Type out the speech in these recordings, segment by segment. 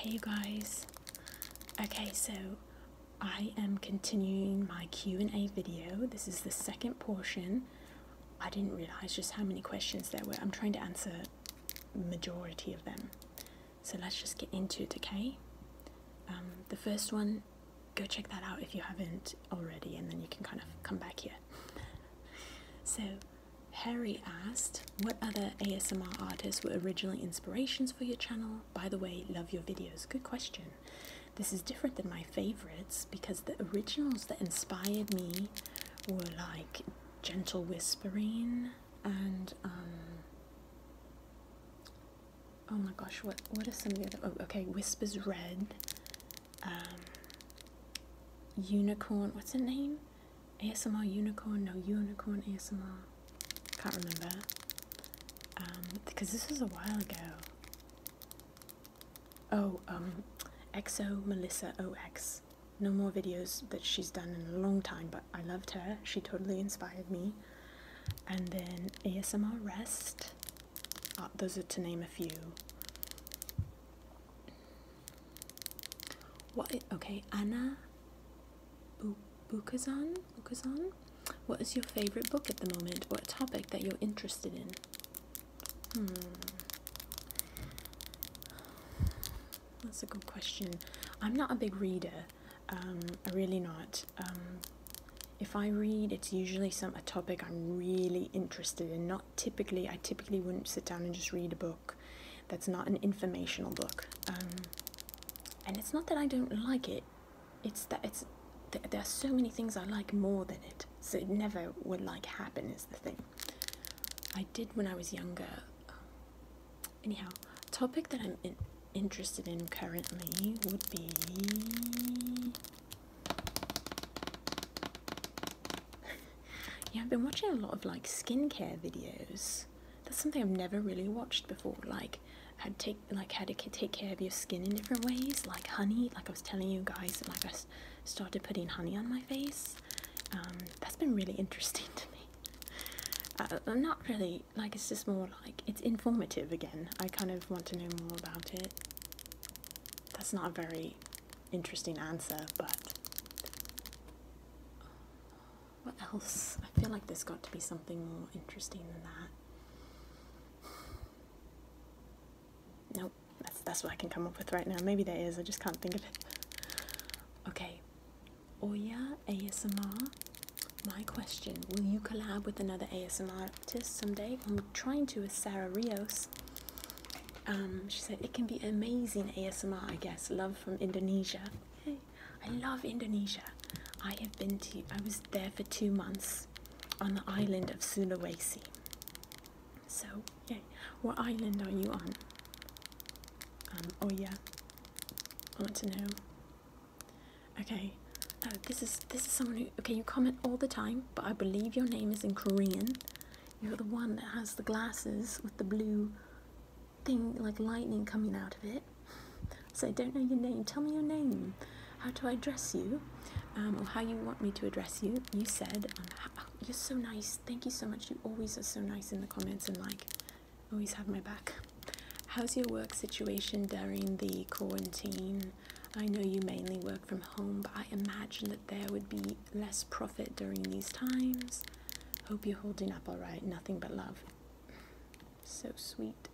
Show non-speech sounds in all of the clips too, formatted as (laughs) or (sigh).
Hey you guys. Okay, so I am continuing my Q&A video. This is the second portion. I didn't realize just how many questions there were. I'm trying to answer majority of them. So let's just get into it, okay? Um, the first one, go check that out if you haven't already and then you can kind of come back here. so Harry asked, What other ASMR artists were originally inspirations for your channel? By the way, love your videos. Good question. This is different than my favorites because the originals that inspired me were like Gentle Whispering and, um, oh my gosh, what, what are some of the other? Oh, okay, Whispers Red, um, Unicorn, what's her name? ASMR unicorn, no unicorn ASMR. Can't remember. Um, because this was a while ago. Oh, um, EXO Melissa OX. No more videos that she's done in a long time, but I loved her. She totally inspired me. And then ASMR Rest. Ah, those are to name a few. What? Okay, Anna Bu Bukazan. Bukazan. What is your favorite book at the moment? or a topic that you're interested in? Hmm. That's a good question. I'm not a big reader. Um, really not. Um, if I read, it's usually some a topic I'm really interested in. Not typically. I typically wouldn't sit down and just read a book that's not an informational book um, and it's not that i don't like it it's that it's there are so many things i like more than it so it never would like happen is the thing i did when i was younger anyhow topic that i'm interested in currently would be (laughs) yeah, I've been watching a lot of like skincare videos. That's something I've never really watched before. Like how to take like how to take care of your skin in different ways. Like honey. Like I was telling you guys, like I started putting honey on my face. Um, that's been really (laughs) interesting to me. Uh, I'm not really like it's just more like it's informative again. I kind of want to know more about it. That's not a very interesting answer, but what else? I feel like there's got to be something more interesting than that. Nope, that's, that's what I can come up with right now. Maybe there is, I just can't think of it. Okay, Oya ASMR. My question, will you collab with another ASMR artist someday? I'm trying to with Sarah Rios um, she said it can be amazing ASMR. I guess love from Indonesia. I love Indonesia. I have been to. I was there for two months on the island of Sulawesi. So yeah, what island are you on? Um, oh yeah, I want to know. Okay, oh, this is this is someone who. Okay, you comment all the time, but I believe your name is in Korean. You're the one that has the glasses with the blue thing, like lightning coming out of it. So I don't know your name. Tell me your name. How do I address you? Um, or how you want me to address you? You said, um, oh, "You're so nice. Thank you so much. You always are so nice in the comments and like, always have my back." How's your work situation during the quarantine? I know you mainly work from home, but I imagine that there would be less profit during these times. Hope you're holding up all right. Nothing but love. So sweet.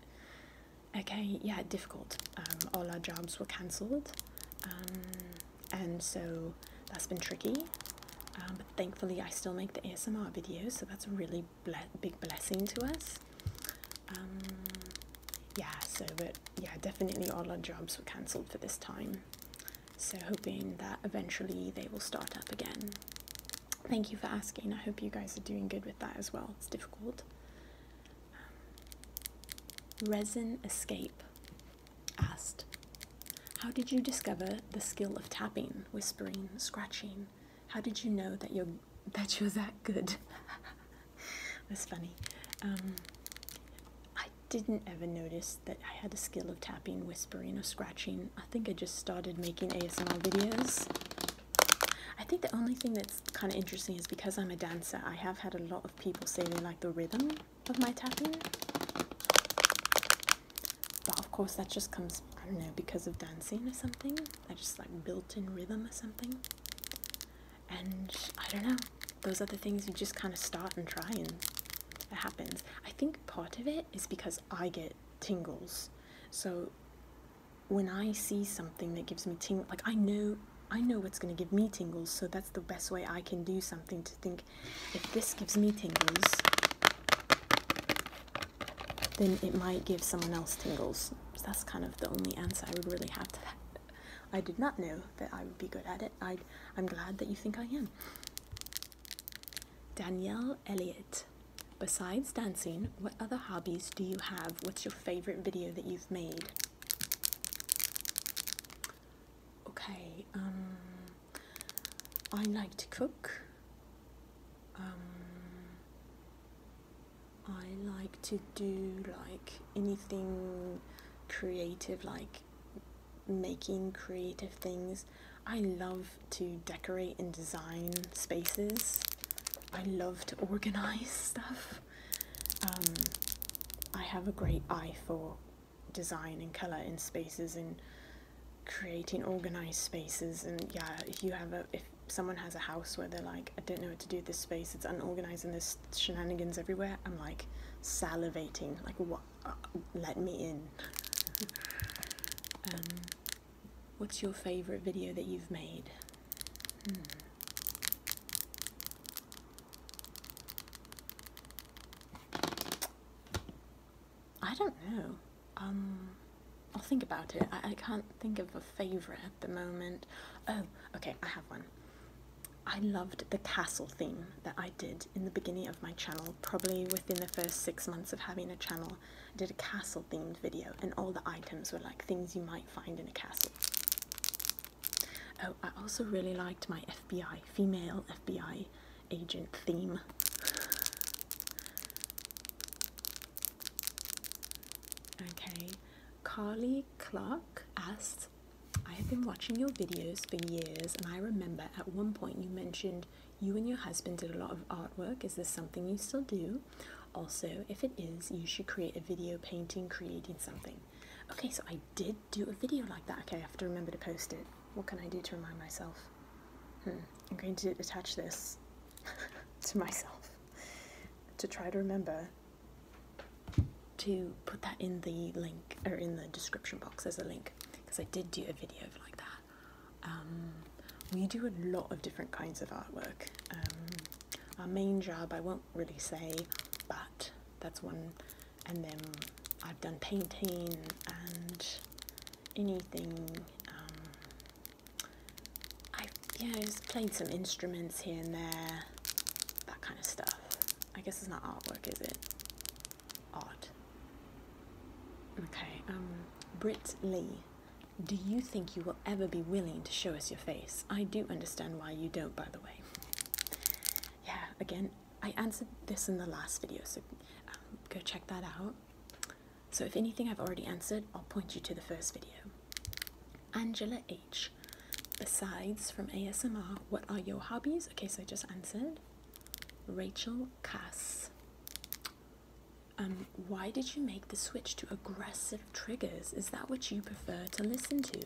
Okay, yeah, difficult. Um, all our jobs were cancelled, um, and so that's been tricky. Um, but thankfully, I still make the ASMR videos, so that's a really big blessing to us. yeah, so but yeah, definitely all our jobs were cancelled for this time. So, hoping that eventually they will start up again. Thank you for asking. I hope you guys are doing good with that as well. It's difficult. Um, Resin Escape asked, How did you discover the skill of tapping, whispering, scratching? How did you know that you're (laughs) that you're that good? (laughs) That's funny. Um, I didn't ever notice that I had a skill of tapping, whispering, or scratching. I think I just started making ASMR videos. I think the only thing that's kind of interesting is because I'm a dancer, I have had a lot of people say they like the rhythm of my tapping. But of course that just comes, I don't know, because of dancing or something. I just like built-in rhythm or something. And I don't know, those are the things you just kind of start and try and it happens. I think part of it is because I get tingles. So when I see something that gives me tingles, like I know I know what's going to give me tingles, so that's the best way I can do something to think if this gives me tingles, then it might give someone else tingles. So that's kind of the only answer I would really have to that. I did not know that I would be good at it. I, am glad that you think I am. Danielle Elliott. Besides dancing, what other hobbies do you have? What's your favorite video that you've made? Okay, um, I like to cook. Um, I like to do like anything creative, like making creative things. I love to decorate and design spaces. I love to organize (laughs) stuff. Um, I have a great eye for design and color in spaces and creating organized spaces. And yeah, if you have a if someone has a house where they're like, I don't know what to do with this space, it's unorganized and there's shenanigans everywhere, I'm like salivating. Like, what let me in. (laughs) Um, what's your favorite video that you've made? Hmm. I don't know. Um, I'll think about it. I, I can't think of a favorite at the moment. Oh, okay, I have one. I loved the castle theme that I did in the beginning of my channel, probably within the first six months of having a channel. I did a castle themed video, and all the items were like things you might find in a castle. Oh, I also really liked my FBI, female FBI agent theme. (laughs) Okay, Carly Clark asked I have been watching your videos for years, and I remember at one point you mentioned you and your husband did a lot of artwork. Is this something you still do? Also, if it is, you should create a video painting creating something. Okay, so I did do a video like that. Okay, I have to remember to post it. What can I do to remind myself? Hmm, I'm going to attach this (laughs) to myself to try to remember to put that in the link or in the description box as a link because I did do a video like that. Um, we do a lot of different kinds of artwork. Um, our main job I won't really say, but that's one. And then I've done painting and anything. Um, i yeah, I've played some instruments here and there that kind of stuff. I guess it's not artwork, is it? Art. Okay, um, Britt Lee. Do you think you will ever be willing to show us your face? I do understand why you don't, by the way. Yeah, again, I answered this in the last video, so um, go check that out. So if anything I've already answered, I'll point you to the first video. Angela Besides from ASMR, what are your hobbies? Okay, so I just answered. Rachel Cass. Um, why did you make the switch to aggressive triggers? Is that what you prefer to listen to?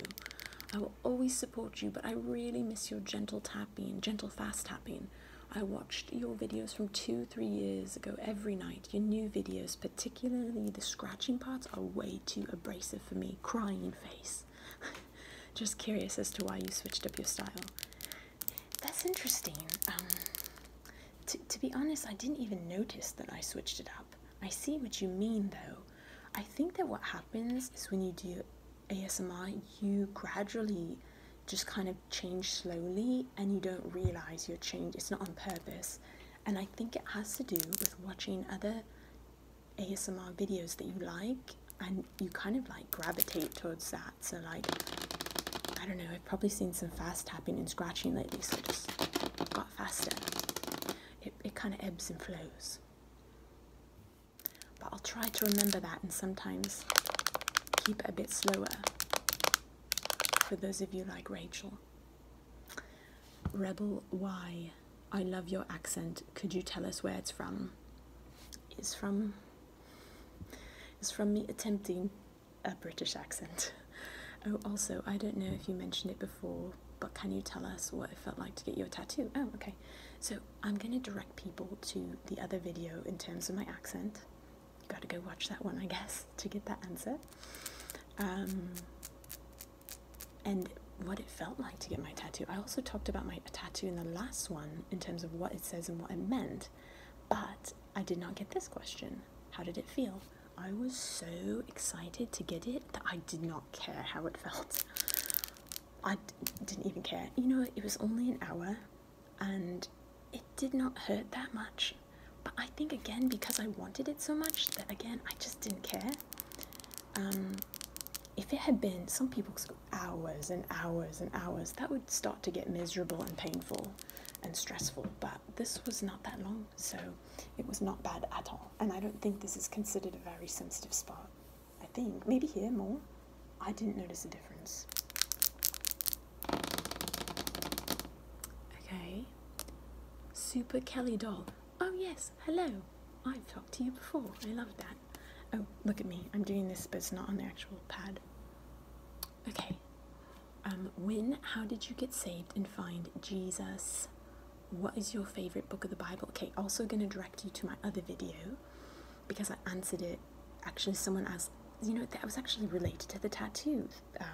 I will always support you, but I really miss your gentle tapping, gentle fast tapping. I watched your videos from two, three years ago every night. Your new videos, particularly the scratching parts, are way too abrasive for me. Crying face. (laughs) Just curious as to why you switched up your style. That's interesting. Um, to be honest, I didn't even notice that I switched it up. I see what you mean though. I think that what happens is when you do ASMR, you gradually just kind of change slowly and you don't realize your change. It's not on purpose. And I think it has to do with watching other ASMR videos that you like and you kind of like gravitate towards that. So like I don't know, I've probably seen some fast tapping and scratching lately, so just got faster. It, it kind of ebbs and flows. But I'll try to remember that and sometimes keep it a bit slower for those of you like Rachel. Rebel Y I love your accent. Could you tell us where it's from? It's from. It's from me attempting a British accent. Oh, also, I don't know if you mentioned it before, but can you tell us what it felt like to get your tattoo? Oh, okay. So I'm gonna direct people to the other video in terms of my accent. You gotta go watch that one, I guess, to get that answer. Um, and what it felt like to get my tattoo. I also talked about my tattoo in the last one in terms of what it says and what it meant, but I did not get this question. How did it feel? I was so excited to get it that I did not care how it (laughs) felt. I didn't even care. You know, it was only an hour and it did not hurt that much. But I think again, because I wanted it so much that again, I just didn't care. Um, if it had been, some people hours and hours and hours, that would start to get miserable and painful and stressful. But this was not that long, so it was not bad at all. And I don't think this is considered a very sensitive spot. I think maybe here more. I didn't notice a difference. Okay, Super Kelly doll. Oh yes, hello. I've talked to you before. I love that. Oh, look at me. I'm doing this, but it's not on the actual pad. Okay. Um, when, how did you get saved and find Jesus? What is your favorite book of the Bible? Okay, also going to direct you to my other video because I answered it. Actually, someone asked, you know, that was actually related to the tattoos um,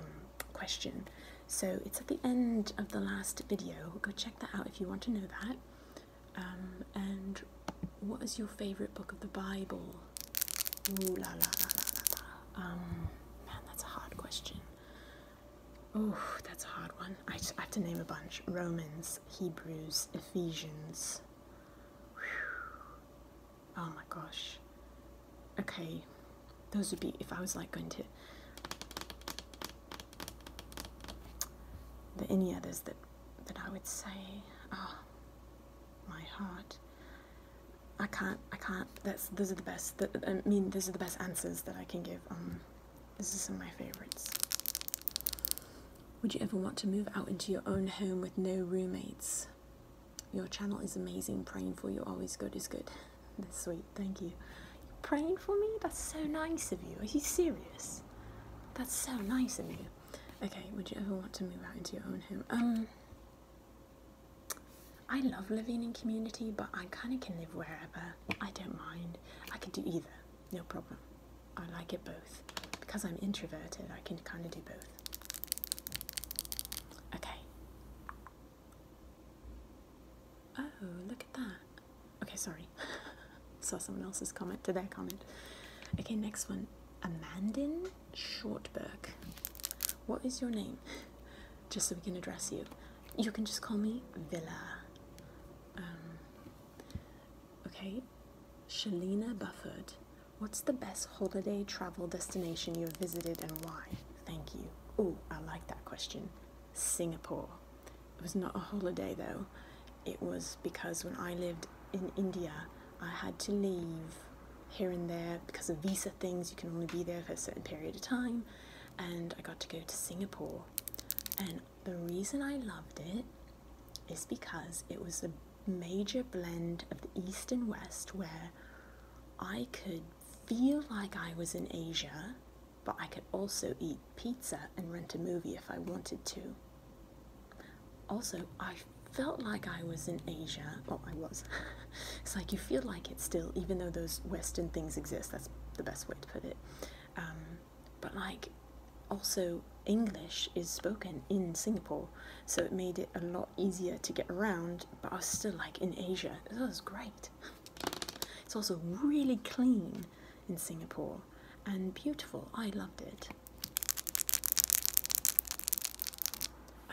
question. So it's at the end of the last video. Go check that out if you want to know that. Um, and what is your favourite book of the Bible? Ooh la la la la la la. Um, man, that's a hard question. Oh, that's a hard one. I, just, I have to name a bunch: Romans, Hebrews, Ephesians. Oh my gosh. Okay, those would be if I was like going to there any others that that I would say? Oh, my heart. I can't. I can't. That's those are the best. That, I mean, those are the best answers that I can give. Um, this is some of my favorites. Would you ever want to move out into your own home with no roommates? Your channel is amazing. Praying for you. Always good is good. That's sweet, thank you. You're praying for me? That's so nice of you. Are you serious? That's so nice of you. Okay, would you ever want to move out into your own home? Um, I love living in community, but I kind of can live wherever. I don't mind. I could do either, no problem. I like it both. Because I'm introverted, I can kind of do both. Okay. Oh, look at that. Okay, sorry. (laughs) Saw someone else's comment to their comment. Okay, next one. Amandin Shortberg. What is your name? Just so we can address you. You can just call me Villa. Um, okay. Shalina Bufford. What's the best holiday travel destination you've visited and why? Thank you. Oh, I like that question. Singapore. It was not a holiday though, it was because when I lived in India, I had to leave here and there because of visa things, you can only be there for a certain period of time. And I got to go to Singapore. And the reason I loved it is because it was a major blend of the East and West where I could feel like I was in Asia, but I could also eat pizza and rent a movie if I wanted to. Also, I felt like I was in Asia. Well, I was. (laughs) it's like you feel like it still, even though those Western things exist. That's the best way to put it. Um, but like, also, English is spoken in Singapore, so it made it a lot easier to get around, but I was still like in Asia. That was great. (laughs) It's also really clean in Singapore and beautiful. I loved it.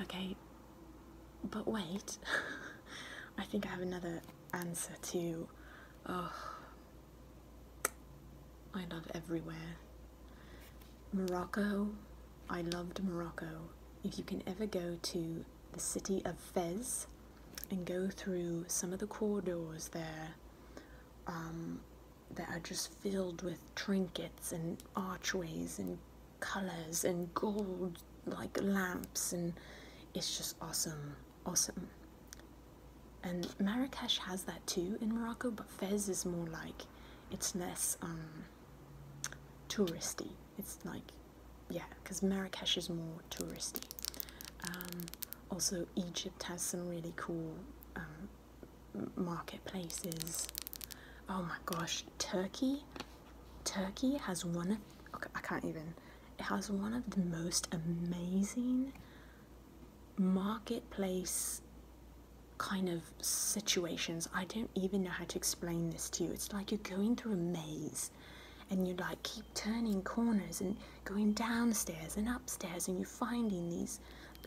Okay, but wait, (laughs) I think I have another answer to. Oh, I love everywhere. Morocco, I loved Morocco. If you can ever go to the city of Fez and go through some of the corridors there um, that are just filled with trinkets and archways and colors and gold like lamps and it's just awesome awesome and Marrakesh has that too in Morocco but Fez is more like it's less um, touristy it's like, yeah, because Marrakesh is more touristy. Um, also, Egypt has some really cool um, marketplaces. Oh my gosh, Turkey. Turkey has one okay, I can't even, it has one of the most amazing marketplace kind of situations. I don't even know how to explain this to you. It's like you're going through a maze and you like keep turning corners and going downstairs and upstairs and you're finding these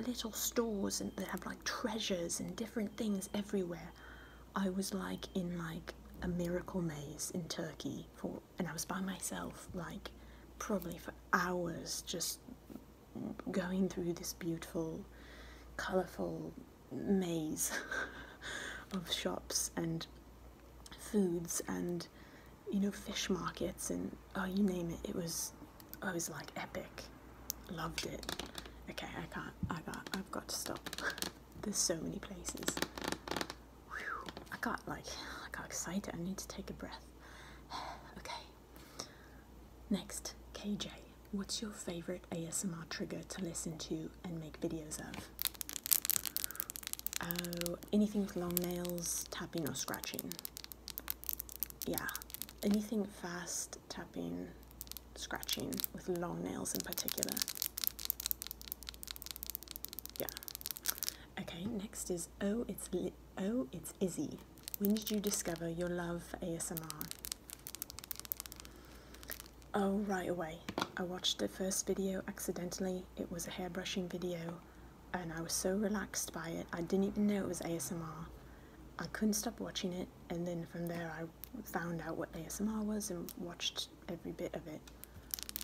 little stores and that have like treasures and different things everywhere i was like in like a miracle maze in turkey for and i was by myself like probably for hours just going through this beautiful colorful maze (laughs) of shops and foods and you know fish markets and oh you name it it was I was like epic loved it okay I can't I got I've got to stop (laughs) there's so many places I got like I got excited I need to take a breath (sighs) okay next KJ what's your favorite ASMR trigger to listen to and make videos of. Oh, anything with long nails, tapping or scratching. Yeah, anything fast, tapping, scratching with long nails in particular. Yeah. Okay, next is oh it's li oh it's Izzy. When did you discover your love for ASMR? Oh, right away. I watched the first video accidentally. It was a hairbrushing video, and I was so relaxed by it, I didn't even know it was ASMR. I couldn't stop watching it, and then from there, I found out what ASMR was and watched every bit of it.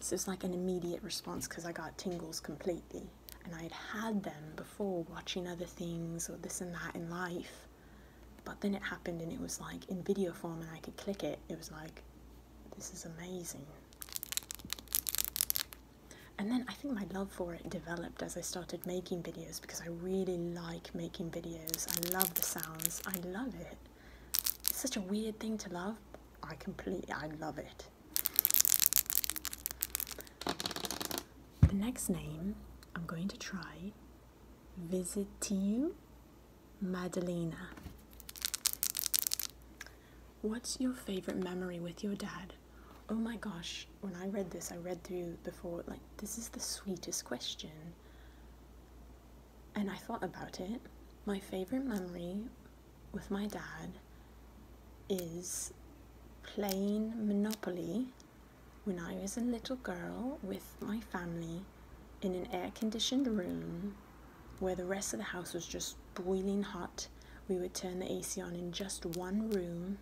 So was like an immediate response because I got tingles completely, and I had had them before watching other things or this and that in life. But then it happened, and it was like in video form, and I could click it. It was like, this is amazing. And then I think my love for it developed as I started making videos because I really like making videos. I love the sounds. I love it. It's such a weird thing to love. I completely, I love it. The next name I'm going to try visit to you, Madalena. What's your favorite memory with your dad? Oh my gosh, when I read this, I read through before, like, this is the sweetest question. And I thought about it. My favorite memory with my dad is playing Monopoly when I was a little girl with my family in an air conditioned room where the rest of the house was just boiling hot. We would turn the AC on in just one room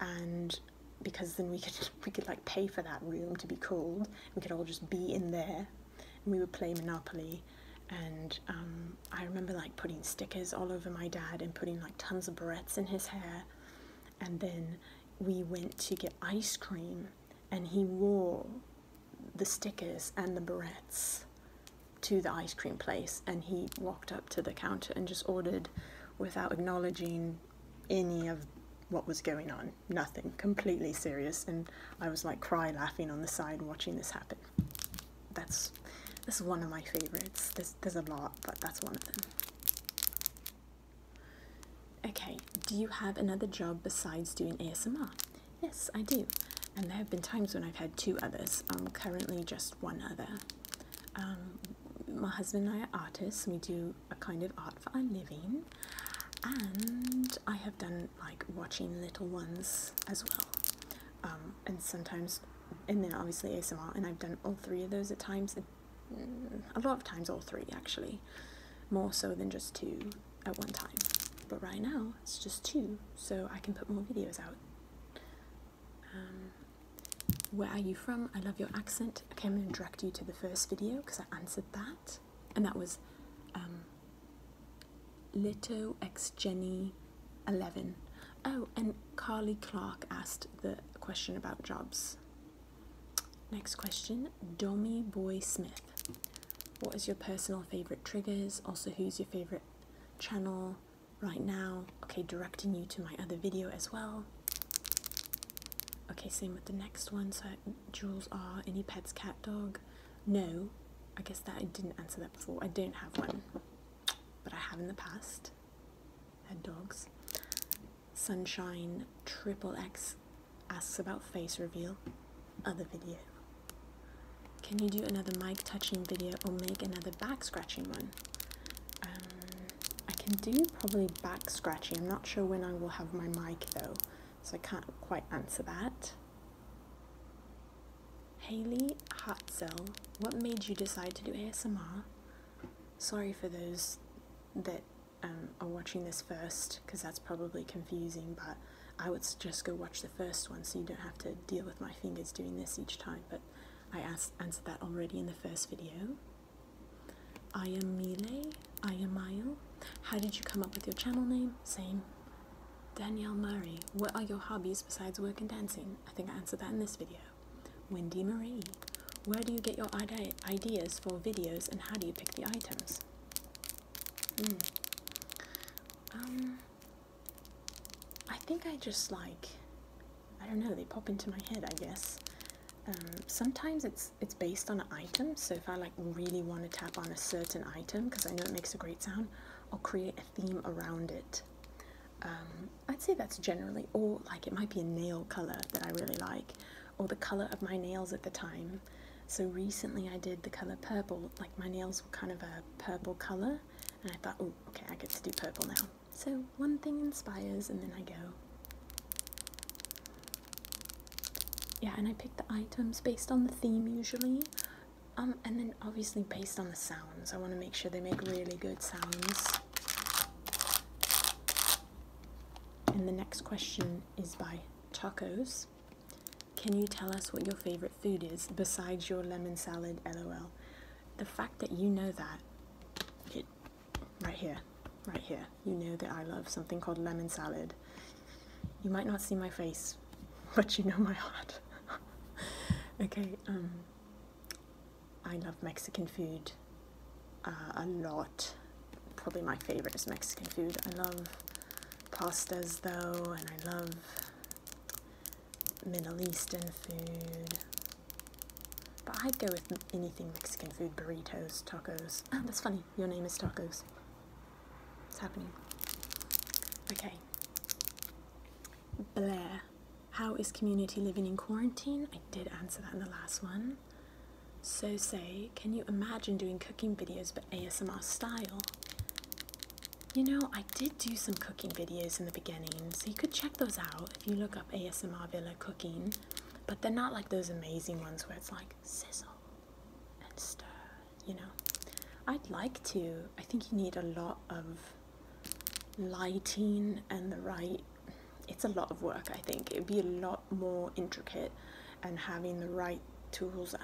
and because then we could (laughs) we could like pay for that room to be cooled. We could all just be in there and we would play Monopoly and um, I remember like putting stickers all over my dad and putting like tons of barrettes in his hair and then we went to get ice cream and he wore the stickers and the barrettes to the ice cream place and he walked up to the counter and just ordered without acknowledging any of what was going on. Nothing. Completely serious. And I was like cry laughing on the side watching this happen. That's this one of my favorites. There's, there's a lot, but that's one of them. Okay, do you have another job besides doing ASMR? Yes, I do. And there have been times when I've had two others. Um, currently, just one other. Um, my husband and I are artists, we do a kind of art for our living. And I have done like watching little ones as well. Um, and sometimes, and then obviously ASMR, and I've done all three of those at times, mm, a lot of times, all three actually more so than just two at one time. But right now it's just two, so I can put more videos out. Um, where are you from? I love your accent. Okay, I'm going to direct you to the first video because I answered that, and that was um, Lito X Jenny 11. Oh, and Carly Clark asked the question about jobs. Next question Domi Boy Smith. What is your personal favorite triggers? Also, who's your favorite channel right now? Okay, directing you to my other video as well. Okay, same with the next one. So, Jules are Any pets, cat, dog? No, I guess that I didn't answer that before. I don't have one, but I have in the past had dogs. Sunshine Triple X asks about face reveal. Other video. Can you do another mic touching video or make another back scratching one? Um, I can do probably back scratching. I'm not sure when I will have my mic though, so I can't quite answer that. Haley Hartzell, what made you decide to do ASMR? Sorry for those that um, are watching this first because that's probably confusing, but I would just go watch the first one so you don't have to deal with my fingers doing this each time. But I asked, answered that already in the first video. I am Mile, I am Mayo. How did you come up with your channel name? Same. Danielle Murray, what are your hobbies besides work and dancing? I think I answered that in this video. Wendy Marie, where do you get your ide ideas for videos and how do you pick the items? Hmm. Um, I think I just like, I don't know, they pop into my head, I guess. Um, sometimes it's it's based on an item, so if I like really want to tap on a certain item because I know it makes a great sound, I'll create a theme around it. Um, I'd say that's generally, or like it might be a nail color that I really like or the color of my nails at the time. So recently I did the color purple, like my nails were kind of a purple color, and I thought, oh, okay, I get to do purple now. So one thing inspires, and then I go. Yeah, and I pick the items based on the theme usually, um, and then obviously based on the sounds. I want to make sure they make really good sounds. And the next question is by Tacos. Can you tell us what your favorite food is besides your lemon salad? LOL. The fact that you know that, it, right here, right here, you know that I love something called lemon salad. You might not see my face, (laughs) but you know my heart. (laughs) okay, um, I love Mexican food. Uh, a lot. Probably my favorite is Mexican food. I love pastas though, and I love Middle Eastern food. But I'd go with anything Mexican food, burritos, tacos. (laughs) that's funny. Your name is tacos. It's happening. Okay. Blair. How is community living in quarantine? I did answer that in the last one. So say, can you imagine doing cooking videos but ASMR style? You know, I did do some cooking videos in the beginning, so you could check those out if you look up ASMR Villa Cooking, but they're not like those amazing ones where it's like sizzle and stir, you know. I'd like to. I think you need a lot of lighting and the right it's a lot of work I think it'd be a lot more intricate and having the right tools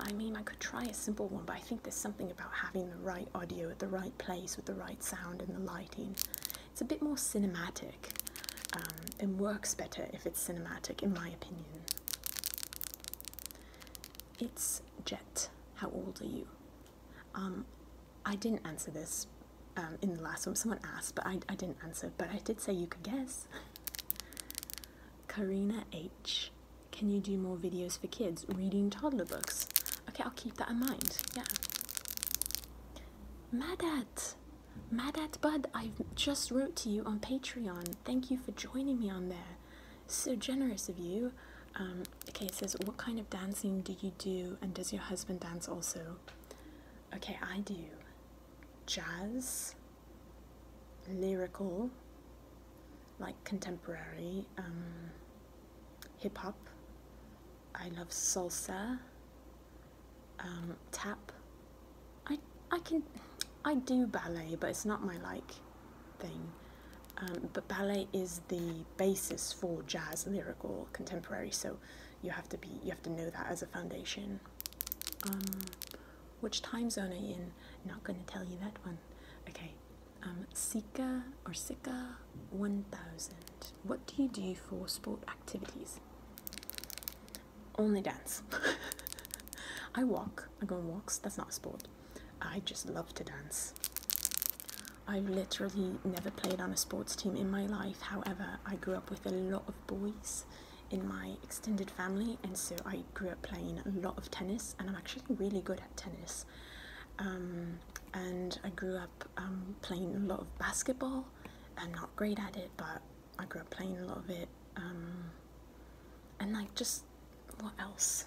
I mean I could try a simple one but I think there's something about having the right audio at the right place with the right sound and the lighting it's a bit more cinematic um, and works better if it's cinematic in my opinion it's Jet how old are you um, I didn't answer this um, in the last one. Someone asked, but I, I didn't answer. But I did say you could guess. Karina H. Can you do more videos for kids reading toddler books? Okay, I'll keep that in mind. Yeah. Madat. Madat Bud, I just wrote to you on Patreon. Thank you for joining me on there. So generous of you. Um, okay, it says, what kind of dancing do you do? And does your husband dance also? Okay, I do jazz, lyrical, like contemporary, um, hip hop. I love salsa, um, tap. I I can I do ballet, but it's not my like thing. Um, but ballet is the basis for jazz, lyrical, contemporary. So you have to be you have to know that as a foundation um, which time zone are you in not going to tell you that one okay um, sika or sika 1000 what do you do for sport activities only dance (laughs) i walk i go on walks that's not sport i just love to dance I've literally never played on a sports team in my life. However, I grew up with a lot of boys in my extended family, and so I grew up playing a lot of tennis, and I'm actually really good at tennis. Um, and I grew up um, playing a lot of basketball. I'm not great at it, but I grew up playing a lot of it. Um, and like, just what else?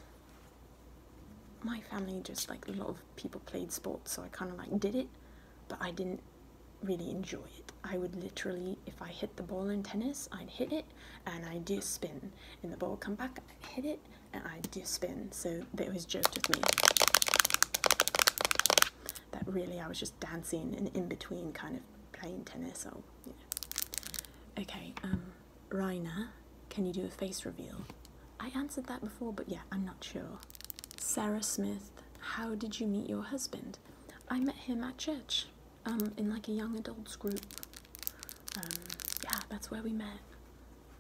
My family just like a lot of people played sports, so I kind of like did it, but I didn't really enjoy it. I would literally, if I hit the ball in tennis, I'd hit it and I'd do a spin. And the ball would come back, I'd hit it and I'd do a spin. So that was joked with me. That really, I was just dancing and in between kind of playing tennis or, Okay, um, can you do a face reveal? I answered that before, but yeah, I'm not sure. Sarah Smith, how did you meet your husband? I met him at church, um, in like a young adults group. Um, yeah, that's where we met.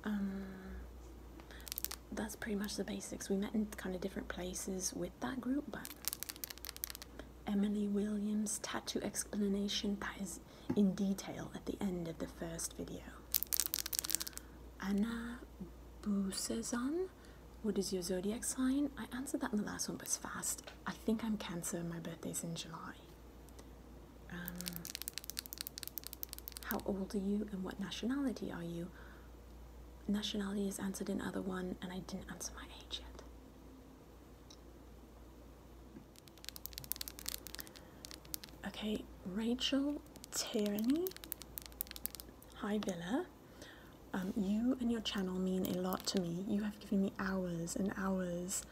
Um, that's pretty much the basics. We met in kind of different places with that group, but Emily Williams tattoo explanation that is in detail at the end of the first video. Anna Busezan what is your zodiac sign? I answered that in the last one, but it's fast. I think I'm Cancer. My birthday's in July. Um, how old are you and what nationality are you? Nationality is answered in other one, and I didn't answer my age yet. Okay, Rachel Tierney. Hi, Villa. Um, you and your channel mean a lot to me. You have given me hours and hours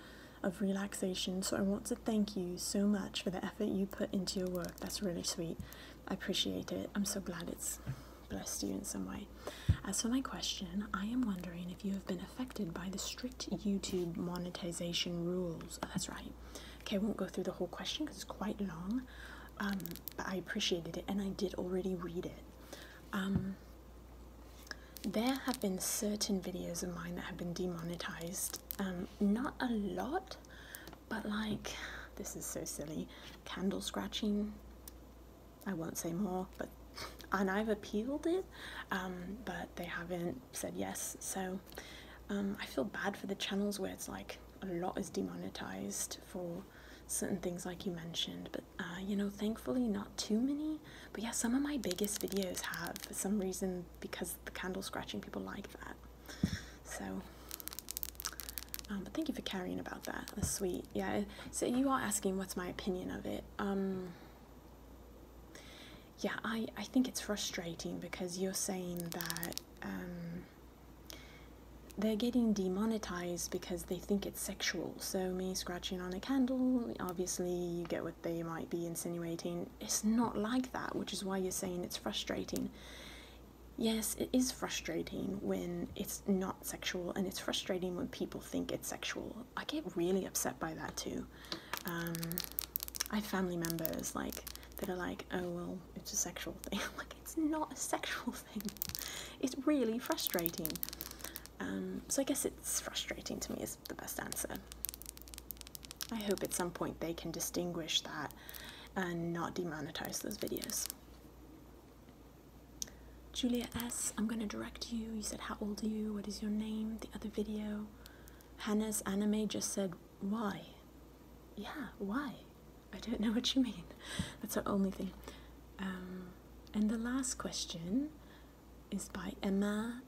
of relaxation, so I want to thank you so much for the effort you put into your work. That's really sweet. I appreciate it. I'm so glad it's blessed you in some way. As for my question, I am wondering if you have been affected by the strict YouTube monetization rules. that's right. Okay, I won't go through the whole question because it's quite long. Um, but I appreciated it and I did already read it. Um, there have been certain videos of mine that have been demonetized. Um, not a lot, but like, this is so silly. Candle scratching, I won't say more, but (laughs) and I've appealed it, um, but they haven't said yes. So I feel bad for the channels where it's like a lot is demonetized for certain things like you mentioned but uh, you know thankfully not too many but yeah some of my biggest videos have for some reason because the candle scratching people like that so um, but thank you for caring about that that's sweet yeah so you are asking what's my opinion of it um yeah i i think it's frustrating because you're saying that um they're getting demonetized because they think it's sexual. So, me scratching on a candle, obviously, you get what they might be insinuating. It's not like that, which is why you're saying it's frustrating. Yes, it is frustrating when it's not sexual, and it's frustrating when people think it's sexual. I get really upset by that too. Um, I have family members like that are like, "Oh well, it's a sexual thing." (laughs) it's not a sexual (laughs) thing. It's really frustrating. Um, so I guess it's frustrating to me is the best answer. I hope at some point they can distinguish that and not demonetize those videos. Julia S, I'm going to direct you. You said, How old are you? What is your name? The other video. Hannah's anime just said, why? Yeah, why? I don't know what you mean. That's our only thing. Um, and the last question is by Emma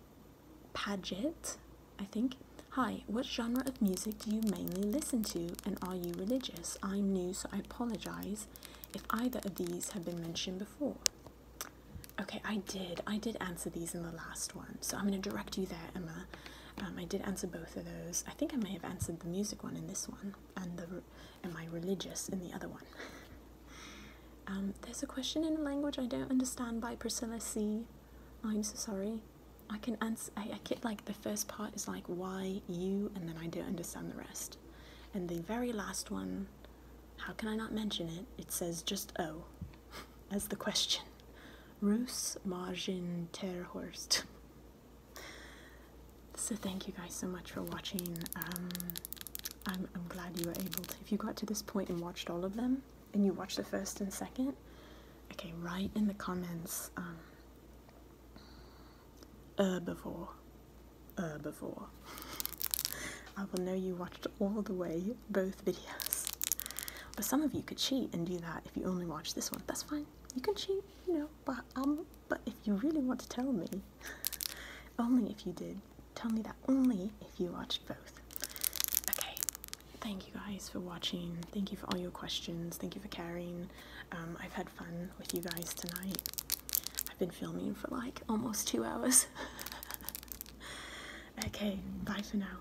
Paget, I think. Hi, what genre of music do you mainly listen to and are you religious? I'm new, so I apologize if either of these have been mentioned before. Okay, I did. I did answer these in the last one, so I'm going to direct you there, Emma. Um, I did answer both of those. I think I may have answered the music one in this one, and the and my religious in the other one. (laughs) Um, there's a question in a language I don't understand by Priscilla C. I'm so sorry. I can answer. I, I get like the first part is like why you, and then I don't understand the rest. And the very last one, how can I not mention it? It says just oh, (laughs) as the question. Rus margin terhorst. (laughs) So thank you guys so much for watching. Um, I'm, glad you were able to. If you got to this point and watched all of them, and you watched the first and second, okay, write in the comments, herbivore, um, herbivore. (laughs) I will know you watched all the way, both videos. But some of you could cheat and do that if you only watch this one. That's fine you can cheat, you know, but um but if you really want to tell me (laughs) only if you did, tell me that only if you watched both. Okay. Thank you guys for watching. Thank you for all your questions. Thank you for caring. Um, I've had fun with you guys tonight. I've been filming for like almost two hours. (laughs) okay, bye for now.